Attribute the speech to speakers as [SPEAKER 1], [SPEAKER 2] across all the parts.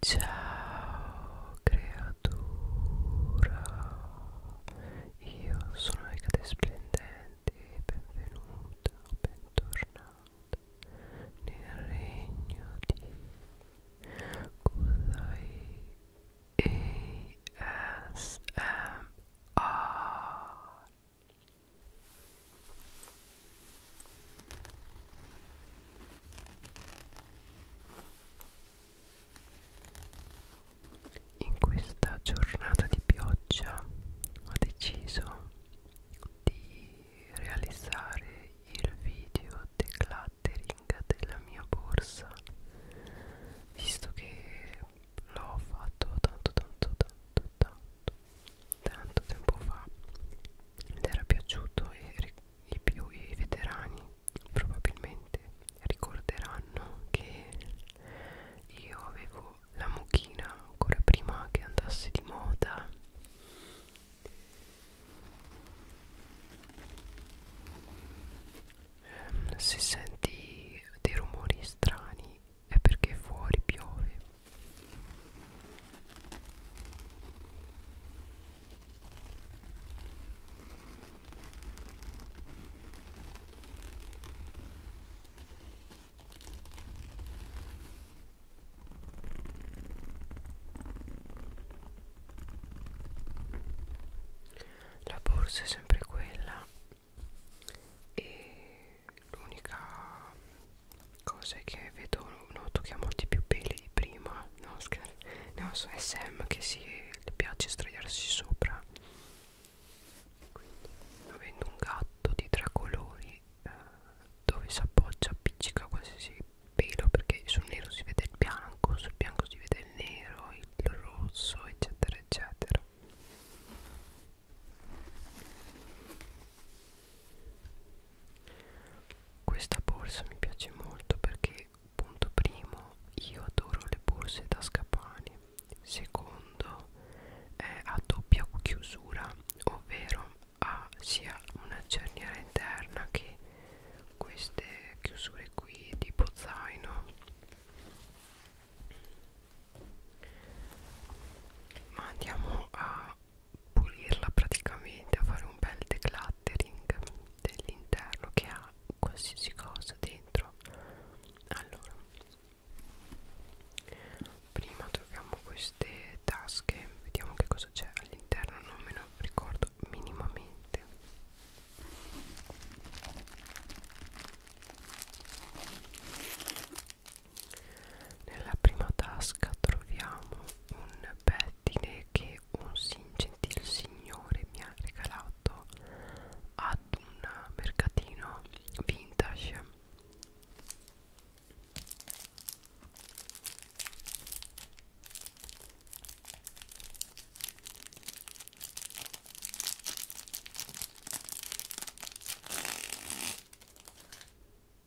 [SPEAKER 1] Ciao creatura, io sono le cade splendenti, benvenuta bentornata nel regno di Kudai In questa giornata di pioggia ho deciso di realizzare il video decluttering della mia borsa visto che l'ho fatto tanto tanto tanto tanto tanto tempo fa ed era piaciuto e i più i veterani probabilmente ricorderanno che io avevo la mucchina ancora prima che andasse di moda ehm, se senti dei rumori strani è perché fuori piove la borsa è sempre quella e l'unica cose che vedo noto che ha molti più peli di prima no scherzo no so SM che si le piace sdraiarsi sopra quindi avendo un gatto di tre colori eh, dove si appoggia appiccica qualsiasi pelo perché sul nero si vede il bianco sul bianco si vede il nero il rosso eccetera eccetera questa borsa mi piace molto perché punto primo io adoro le borse da scapani secondo è a doppia chiusura ovvero ha sia una cerniera interna che queste chiusure qui tipo zaino ma andiamo a pulirla praticamente a fare un bel decluttering dell'interno che ha qualsiasi cosa dentro allora prima troviamo queste tasche vediamo che cosa c'è all'interno non me lo ricordo minimamente nella prima tasca troviamo un pettine che che un gentil signore mi ha regalato ad un mercatino vintage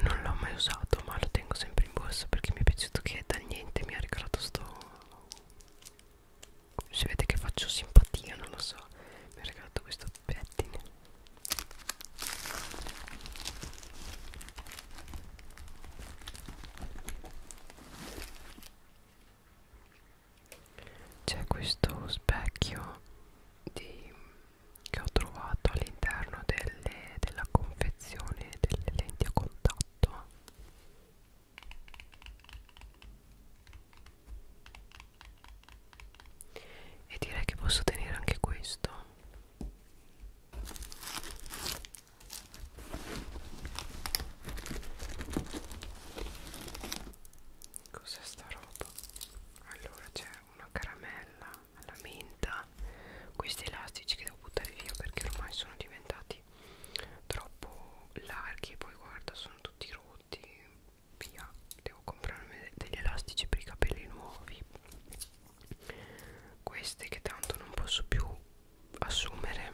[SPEAKER 1] Non l'ho mai usato, ma lo tengo sempre in borsa perché mi è piaciuto che da niente mi ha regalato sto. Si vede che faccio simpatia, non lo so. Mi ha regalato questo pettine. C'è questo specchio di, che ho trovato all'interno della confezione delle lenti a contatto e direi che posso tenere anche questo cos'è sta roba? allora c'è una caramella alla menta questi elastici che devo buttare via perché ormai sono diventati troppo larghi e poi guarda sono tutti rotti via devo comprarmi degli elastici per i capelli nuovi queste che tanto non posso più assumere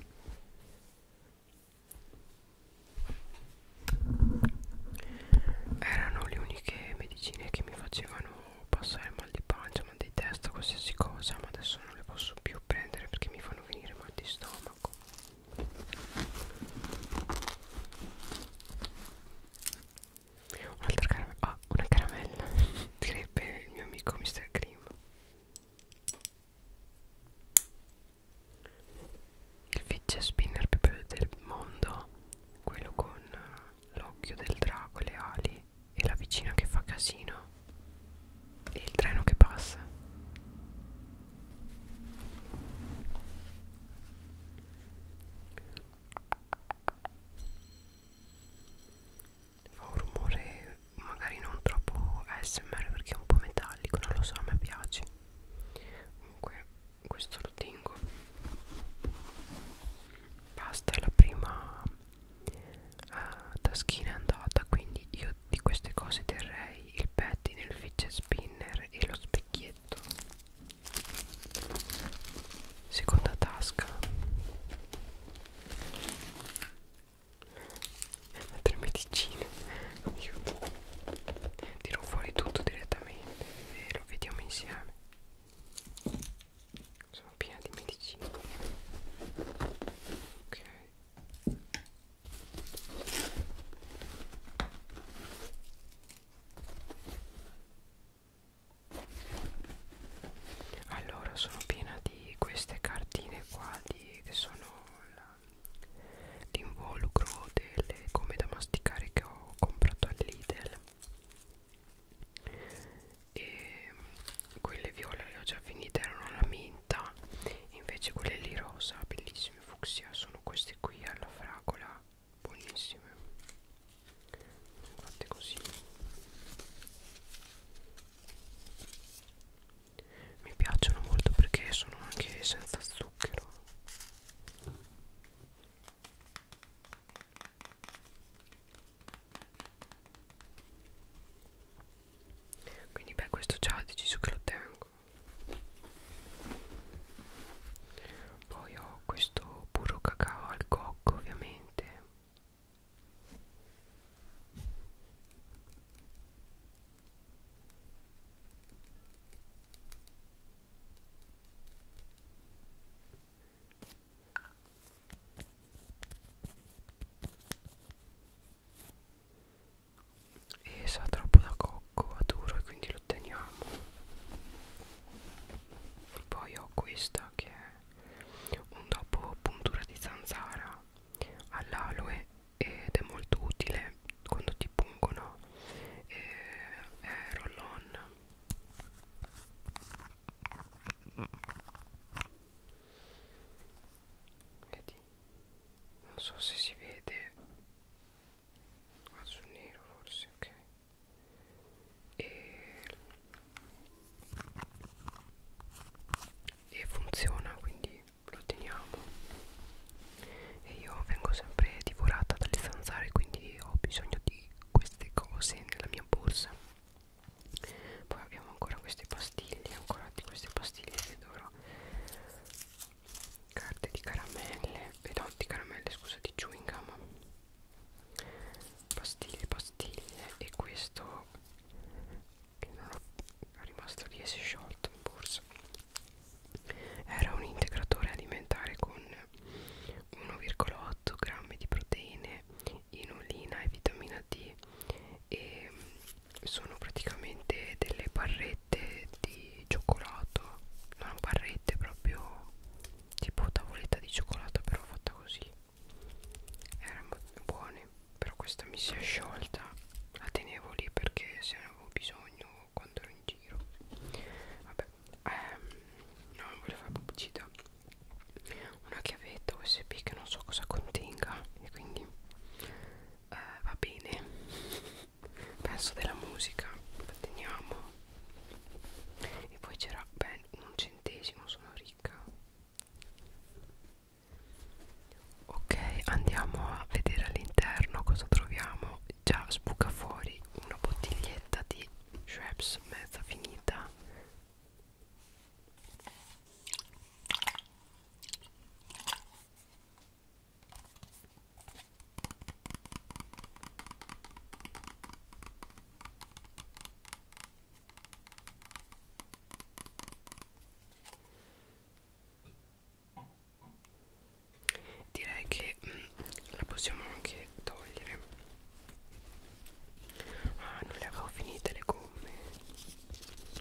[SPEAKER 1] erano le uniche medicine che mi facevano passare mal di pancia mal di testa qualsiasi cosa ma adesso non le posso più prendere perché mi fanno venire mal di stomaco Un'altra caramella Ah una caramella Direbbe il mio amico Mr. Cream Il fidget spinner più bello del mondo Quello con eh, l'occhio del drago, le ali E la vicina che fa casino E il treno che passa Fa un rumore magari non troppo ASMR perché è un po' metallico, non lo so, a me piace. Comunque questo lo tengo. Basta, la prima uh, taschina è andata, quindi io di queste cose terrei il pettine, il fidget spinner e lo specchietto macchinetto seconda tasca altre medicine aiuto tiro fuori tutto direttamente e lo vediamo insieme sono piena di medicine ok allora sono piena di queste cartine qua di, che sono l'involucro delle gomme da masticare che ho comprato all'Idel e quelle viola le ho già finite erano la menta invece quelle lì rosa bellissime fucsia sono queste qui alla fragola buonissime fatte così mi piacciono molto perché sono anche senza zucchero quindi beh questo già ho deciso che lo tengo poi ho questo burro cacao al cocco ovviamente e sa troppo da cocco, va duro e quindi lo teniamo poi ho questa che è un dopo puntura di zanzara all'aloe ed è molto utile quando ti pungono e è roll on vedi non so se si vede ah, sul nero forse ok e, e funziona quindi lo teniamo e io vengo sempre divorata dalle zanzare quindi ho bisogno di queste cose nella mia borsa poi abbiamo ancora queste pastiglie ancora di queste pastiglie che dovrò carte di caramelle e eh no, di caramelle scusa di chewing gum pastiglie pastiglie e questo che non ho, è rimasto lì e si è sciolto in borsa era un integratore alimentare con 1,8 grammi di proteine inulina e vitamina D e sono praticamente delle barrette di cioccolato non barrette proprio tipo tavoletta di cioccolata però fatta così erano buone però questa mi si è sciolta la tenevo lì perché se ne avevo bisogno quando ero in giro vabbè ehm, no non volevo fare pubblicità una chiavetta usb che non so cosa contenga e quindi eh, va bene penso della musica la teniamo e poi c'era ben un centesimo sono ricca ok andiamo a vedere all'interno cosa troviamo già sbuca fuori una bottiglietta di Shreps mezza finita Direi che mh, mm, la possiamo anche togliere. Ah, non le avevo finite le gomme.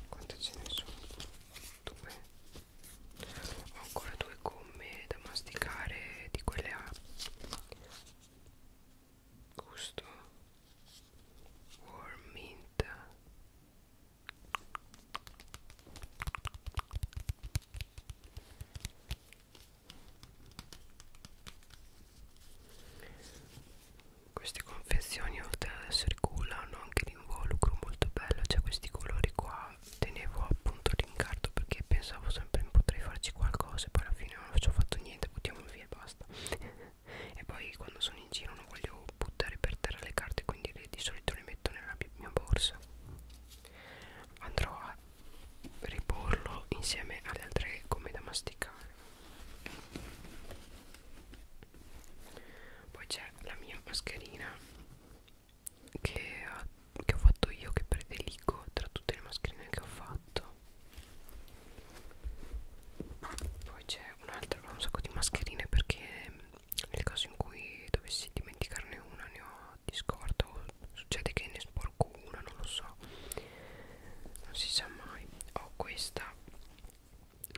[SPEAKER 1] Quante ce ne sono? Due. Ho ancora due due gomme da masticare di quelle a gusto warm mint queste confezioni oltre ad essere cool hanno anche l'involucro molto bello, c'è cioè questi colori qua tenevo appunto l'incarto perché pensavo sempre potrei farci qualcosa e poi alla fine non ci ho fatto niente buttiamo via e basta e poi quando sono in giro non voglio buttare per terra le carte quindi le, di solito le metto nella mia borsa andrò a riporlo insieme alle altre gomme da masticare poi c'è la mia mascherina che, che ho fatto io che prediligo tra tutte le mascherine che ho fatto poi c'è un'altra un sacco di mascherine perché nel caso in cui dovessi dimenticarne una ne ho di scorta o succede che ne sporco una non lo so non si sa mai ho questa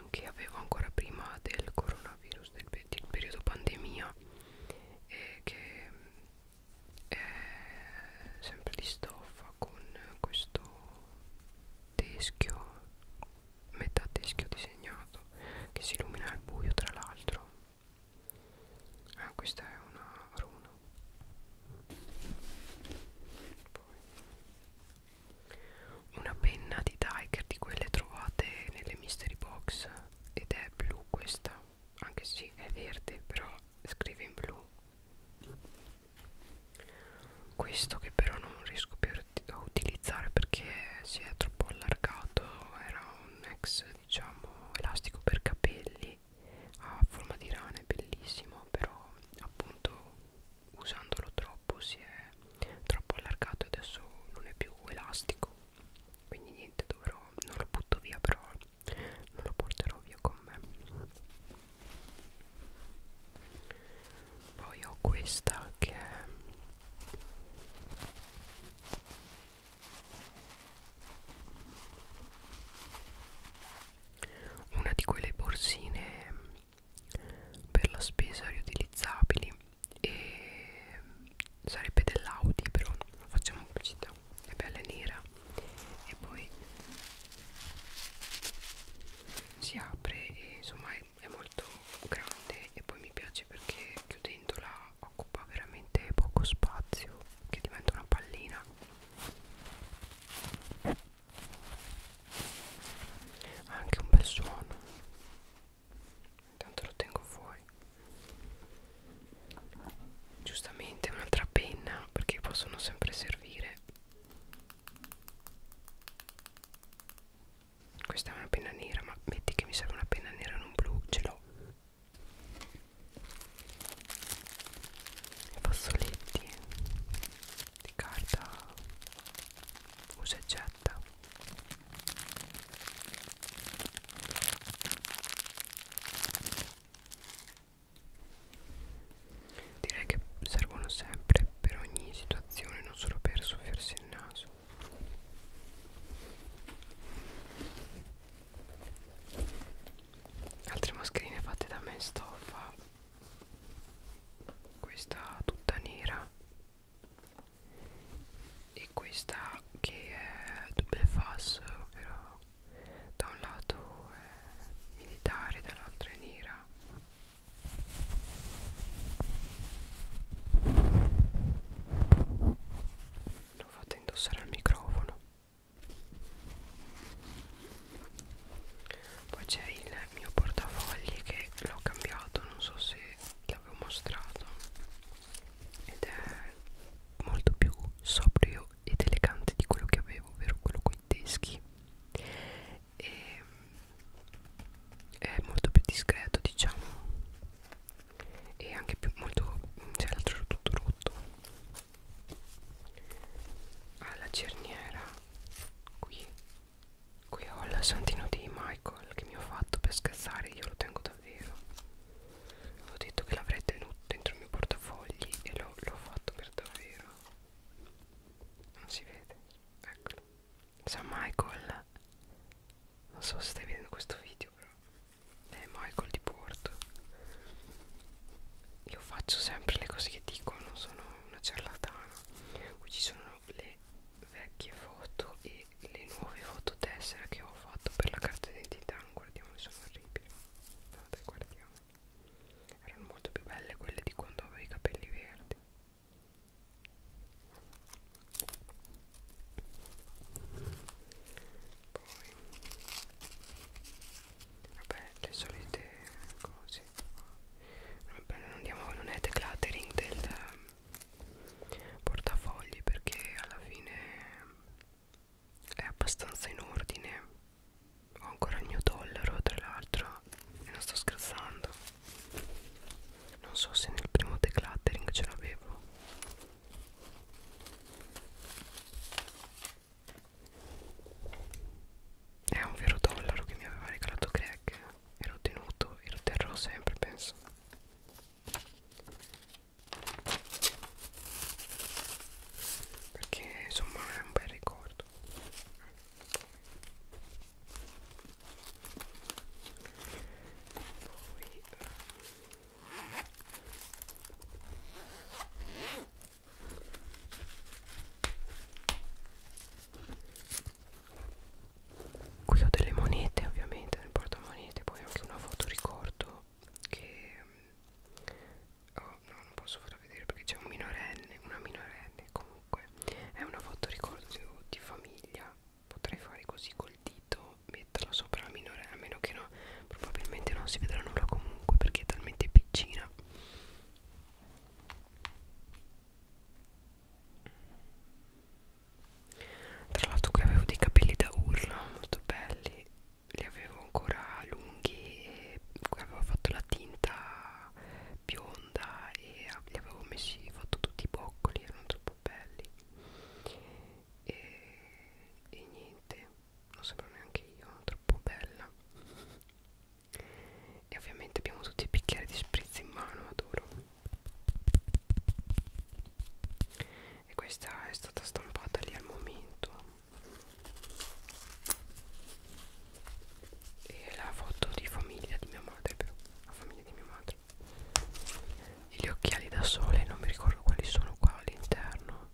[SPEAKER 1] che avevo ancora prima del coronavirus del, del periodo pandemia e che eh, sempre di stoffa con questo teschio metà teschio disegnato che si illumina al buio tra l'altro ah, questa è una runa Poi. una penna di Tiger di quelle trovate nelle mystery box ed è blu questa anche se è verde però scrive in blu questo che però non riesco più a utilizzare perché si è troppo allargato era un ex diciamo elastico per capelli a forma di rana è bellissimo però appunto usandolo troppo si è troppo allargato e adesso non è più elastico quindi niente dovrò non lo butto via però non lo porterò via con me poi ho questa che è una di quelle borsine per la spesa riutilizzabili e sarebbe dell'Audi però non facciamo pubblicità è bella nera e poi si apre e insomma è, è molto grande e poi mi piace perché chiudendola occupa veramente poco spazio che diventa una pallina ha anche un bel suono intanto lo tengo fuori giustamente un'altra penna perché possono sempre servire questa è una penna nera ma metti che mi serve una penna nera non blu ce l'ho i fazzoletti di carta usa e getta Direi che servono sempre per ogni situazione, non solo per soffiarsi il naso. Altre mascherine fatte da me stoffa. Questa tutta nera e questa che è double fass ovvero da un lato è militare dall'altro è nera l'ho fatta indossare al microfono poi c'è il mio portafogli che l'ho cambiato non so se l'avevo mostrato ed è molto più sobrio ed elegante di quello che avevo, ovvero quello con i teschi e è molto più discreto diciamo e anche più molto cioè l'altro era tutto rotto ha la cerniera qui qui ho il santino di Michael che mi ho fatto per scherzare io lo tengo davvero ho detto che l'avrei tenuto dentro il mio portafogli e l'ho fatto per davvero. Non si vede, eccolo. San Michael. Non so se stai vedendo questo video, però. È Michael di Porto. Io faccio sempre le cose che dico, non sono una ciarlatana. Qui ci sono le vecchie foto e le nuove fototessere che ho fatto per la carta d'identità non guardiamo sono orribili vabbè guardiamo erano molto più belle quelle di quando avevo i capelli verdi poi vabbè le solite cose vabbè, non andiamo non è decluttering del portafogli perché alla fine è abbastanza in ordine ho ancora il mio dollaro tra l'altro e non sto scherzando non so se nel primo decluttering ce l'avevo è un vero dollaro che mi aveva regalato Greg e l'ho tenuto e lo terrò sempre penso perché insomma è un bel ricordo poi eh, Qui ho delle monete ovviamente nel portamonete, poi anche una foto ricordo che mm, oh, no, non posso farla vedere perché c'è un minorenne, una minorenne comunque è una foto ricordo di famiglia potrei fare così col dito metterla sopra la minorenne a meno che no probabilmente non si vedrà nulla comunque perché è talmente piccina tra l'altro qui avevo dei capelli da urla molto belli li avevo ancora lunghi e avevo fatto la tinta bionda e li avevo messi fatto tutti i boccoli erano troppo belli e, e niente non sembro neanche io troppo bella e ovviamente abbiamo tutti i bicchieri di spritz in mano adoro e questa è stata stampata lì al momento e la foto di famiglia di mia madre però la famiglia di mia madre e gli occhiali da sole non mi ricordo quali sono qua all'interno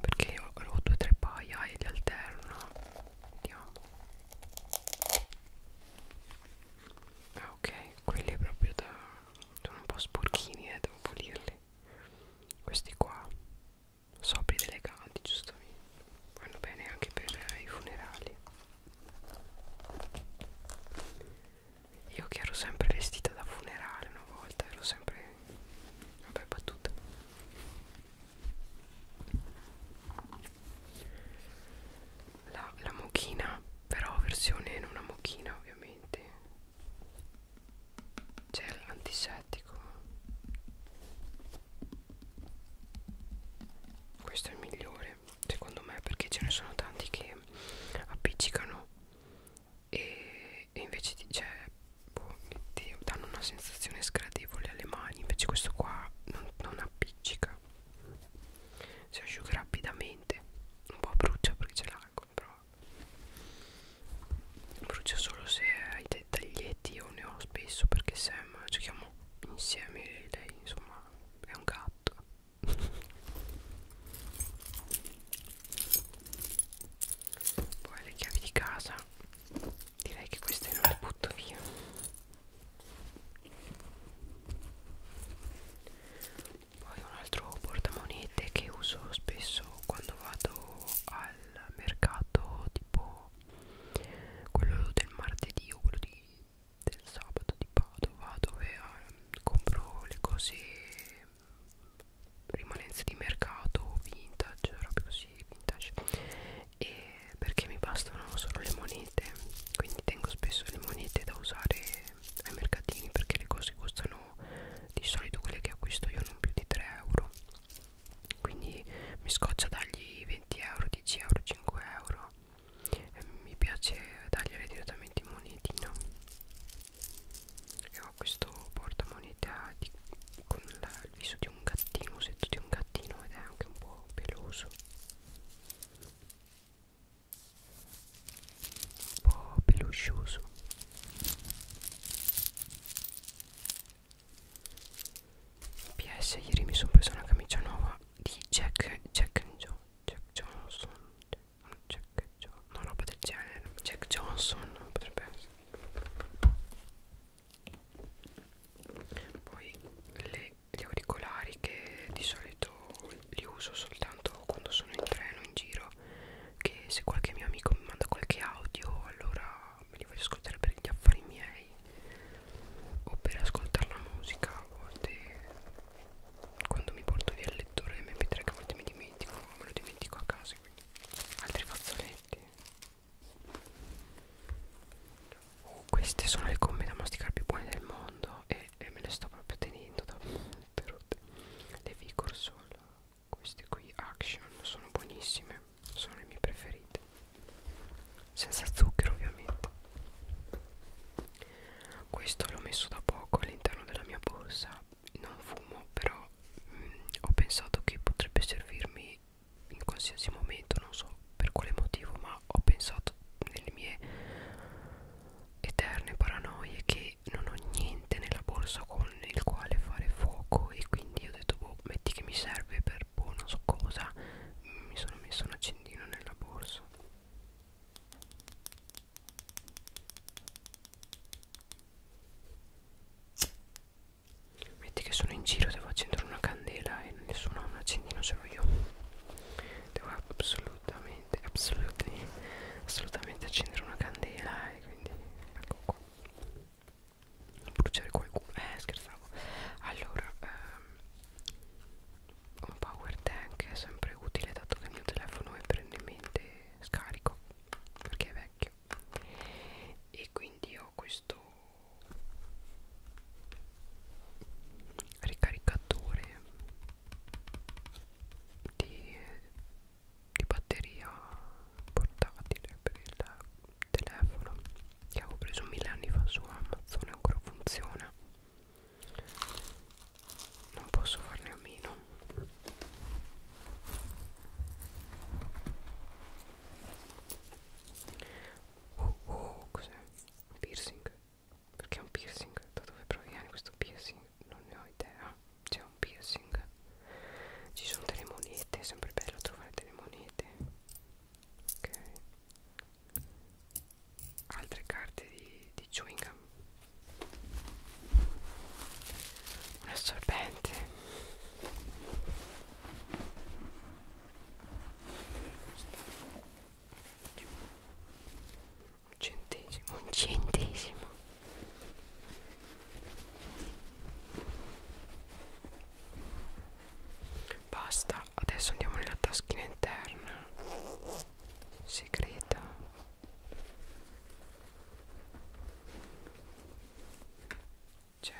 [SPEAKER 1] perché ho, ho due o tre paia e li alterno vediamo ah ok quelli proprio da sono un po' sporchini e eh, devo pulirli questi qua sobri eleganti giustamente vanno bene anche per eh, i funerali io che ero sempre vestita da funerale una volta ero sempre vabbè battuta la, la mochina però versione in una mucchina ovviamente c'è l'antisettico questo è il migliore secondo me perché ce ne sono tanti che appiccicano e, e invece ti, cioè, boh, ti danno una sensazione sgradevole alle mani invece questo qua non, non appiccica si asciuga rapidamente leggermente un po' brucia perché c'è l'alcol però brucia solo se hai dei taglietti io ne ho spesso perché Sam giochiamo insieme lei insomma è un gatto poi le chiavi di casa direi che queste non le butto via poi un altro portamonete che uso spesso quando vado al mercato tipo quello del martedì o quello di, del sabato di Padova dove eh, compro le cose rimanenze di mercato vintage robe così vintage e perché mi bastano solo le monete quindi tengo spesso le monete da usare ai mercatini perché le cose costano di solito quelle che acquisto io non più di 3 euro quindi mi scoccia dargli 20 euro 10 euro 5 euro e mi piace dargliele direttamente in monetina e ho questo portamoneta di, con la, il viso di un gattino il setto di un gattino ed è anche un po' peloso un po' peluscioso PS ieri mi sono presa una camicia nuova di Jack Jack Joe Jack Johnson Jack, Jack Johnson una roba del genere Jack Johnson potrebbe poi le, gli auricolari che di solito li uso soltanto quando sono in treno in giro che se qualche mio amico mi manda qualche audio allora me li voglio ascoltare per gli affari miei o per ascoltare la musica a volte quando mi porto via il lettore mp3 che a volte mi dimentico me lo dimentico a casa quindi altri fazzoletti Oh, queste sono le gomme da masticare più buone del mondo e, e me le sto proprio tenendo da tutte rotte le Vigor Sol queste qui Action sono buonissime sono le mie preferite senza zucchero ovviamente questo l'ho messo da poco all'interno della mia borsa non fumo però mh, mm, ho pensato che potrebbe servirmi in qualsiasi momento non so per quale motivo ma ho pensato nelle mie eterne paranoie che non ho niente nella borsa con il quale fare fuoco e quindi ho detto boh metti che mi serve per boh non so cosa mi sono messo un accendino nella borsa metti che sono in giro devo accendere una candela e nessuno ha un accendino ce l'ho io devo assolutamente assolutamente assolutamente assolutamente accendere una candela e quindi ecco qua bruciare qualcuno eh scherzavo allora ehm, un power tank è sempre utile dato che il mio telefono è perennemente scarico perché è vecchio e quindi ho questo ricaricatore di, di batteria portatile per il telefono che avevo preso mille anni fa su Amazon e ancora funziona non posso farne a meno oh oh cos'è? piercing perché è un piercing? Da dove proviene questo piercing? Non ne ho idea. C'è un piercing. Ci sono delle monete, è sempre bello trovare delle monete. Ok. Altre carte di, di chewing gum. Un assorbente un centesimo un centesimo basta adesso andiamo nella taschina interna segreta c'è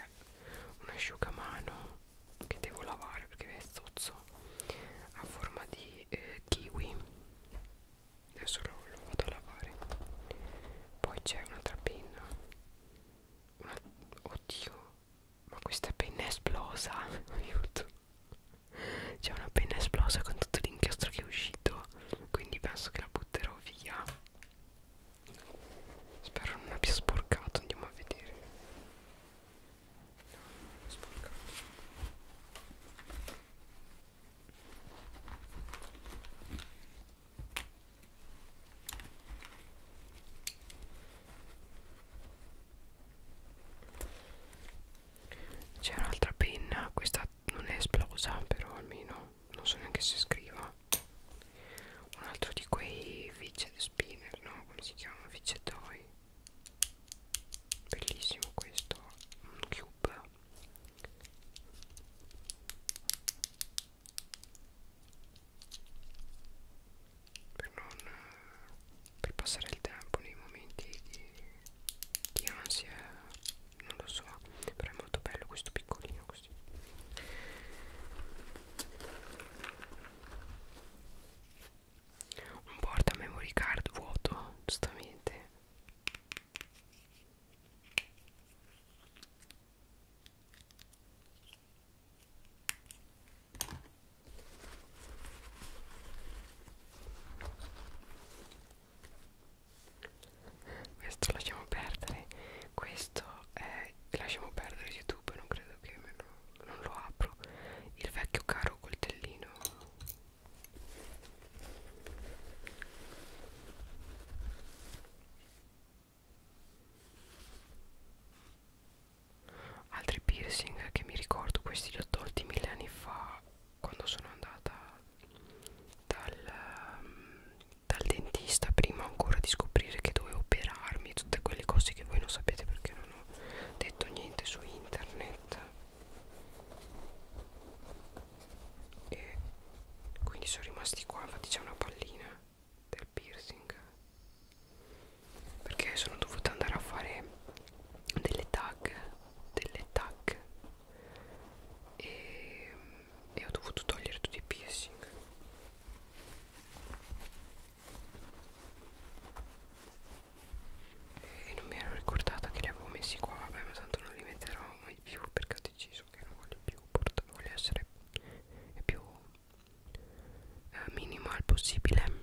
[SPEAKER 1] un asciugamano che devo lavare perché è zozzo a forma di eh, kiwi adesso lo, lo vado a lavare poi c'è un'altra penna una, oddio ma questa penna è esplosa aiuto c'è una penna esplosa con tutto l'inchiostro che è uscito quindi penso che la butterò via spero non abbia sporcato andiamo a vedere No, sporca. C'è un'altra penna, questa non è esplosa, però almeno non so neanche se scriva. Un altro di quei fidget spinner, no? Come si chiama? Fidget toy bellissimo questo un cube per non per passare il tempo nei momenti di, di ansia non lo so però è molto bello questo piccolino così un porta memory card vuoto giustamente questo lasciamo perdere questo è lasciamo perdere youtube non credo che me lo, non lo apro il vecchio caro coltellino Altri piercing che mi ricordo, questi li ho tolti mille anni fa quando sono andata dal, ehm, dal dentista prima ancora di scoprire che dovevo operarmi, tutte quelle cose che voi non sapete perché non ho detto niente su internet e quindi sono rimasti qua infatti c'è una pallina del piercing perché sono dovuta andare a fare delle tag delle tag e, e ho dovuto togliere tutti i piercing e non mi ero ricordata che li avevo messi qua vabbè ma tanto non li metterò mai più perché ho deciso che non voglio più portare voglio essere più eh, minimal possibile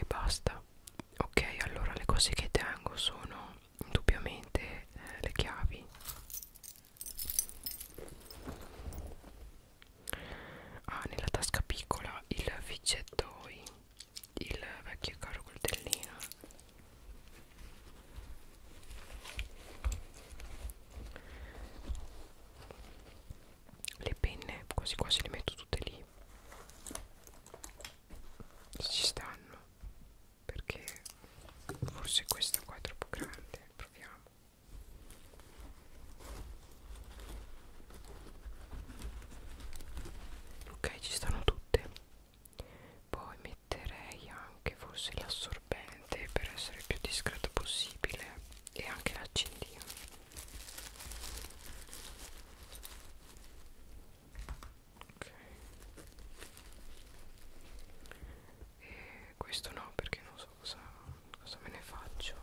[SPEAKER 1] e basta ok allora le cose che tengo sono indubbiamente eh, le chiavi ah nella tasca piccola il fidgettoy il vecchio caro coltellino le penne quasi quasi le metto tutte lì ci stanno perché forse questa qua è troppo grande proviamo ok ci stanno tutte poi metterei anche forse l'assorbente per essere più discreto possibile e anche l'accendino ok e questo no perché non so cosa, cosa me ne faccio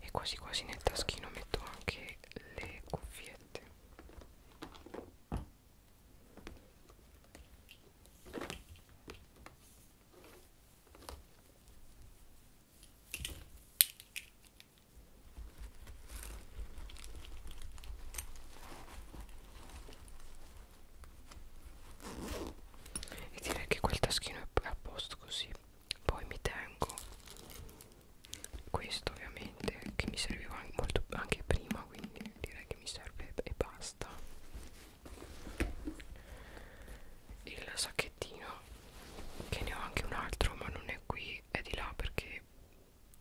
[SPEAKER 1] e quasi quasi nel taschino metto anche le cuffiette e direi che quel taschino è a posto così poi mi tengo questo ovviamente che mi serviva molto anche prima quindi direi che mi serve e basta il sacchettino che ne ho anche un altro ma non è qui è di là perché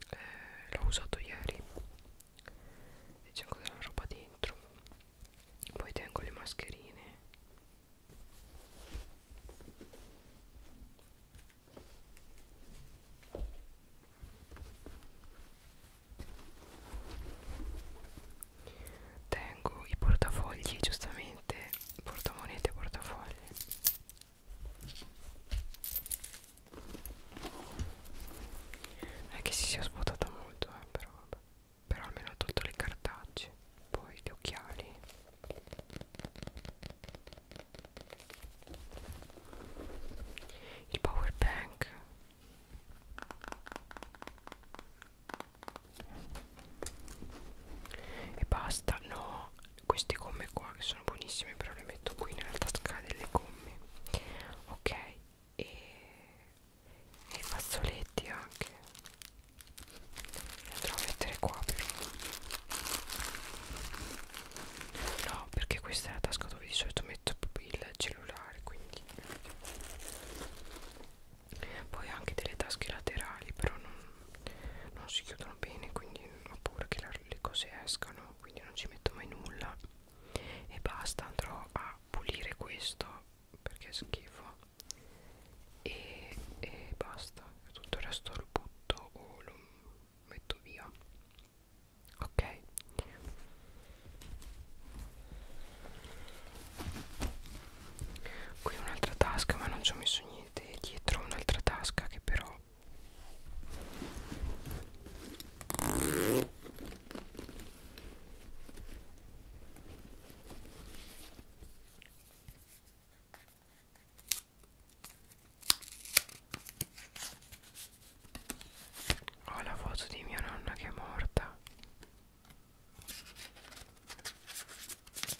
[SPEAKER 1] eh, l'ho usato ieri e c'è ancora della roba dentro poi tengo le mascherine tengo i portafogli giustamente portamonete portafogli non è che si sia svuotata molto eh, però vabbè. però almeno ho tolto le cartacce poi gli occhiali il power bank e basta no queste gomme qua che sono buonissime però le metto qui nella tasca delle gomme ok e i fazzoletti anche li andrò a mettere qua però no perché questa è la tasca dove di solito metto il cellulare quindi poi anche delle tasche laterali però non, non si chiudono bene quindi ho paura che la, le cose escano quindi non ci metto mai nulla e basta andrò a pulire questo perché è schifo e, e basta tutto il resto lo butto o lo metto via ok qui un'altra tasca ma non ci ho messo niente dietro un'altra tasca che però ho la foto di mia nonna che è morta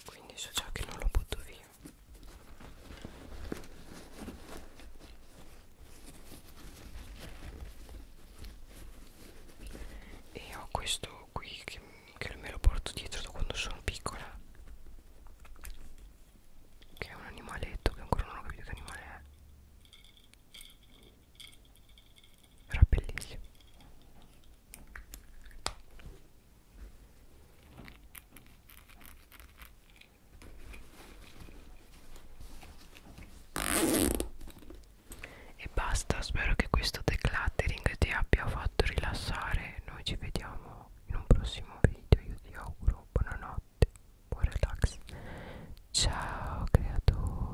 [SPEAKER 1] quindi so già che non lo butto via e ho questo qui che, che me lo porto dietro da quando sono piccola che è un animaletto che ancora non ho capito che animale è era bellissimo e basta spero che questo decluttering ti abbia fatto rilassare noi ci vediamo in un prossimo video io ti auguro buonanotte buon relax ciao creatura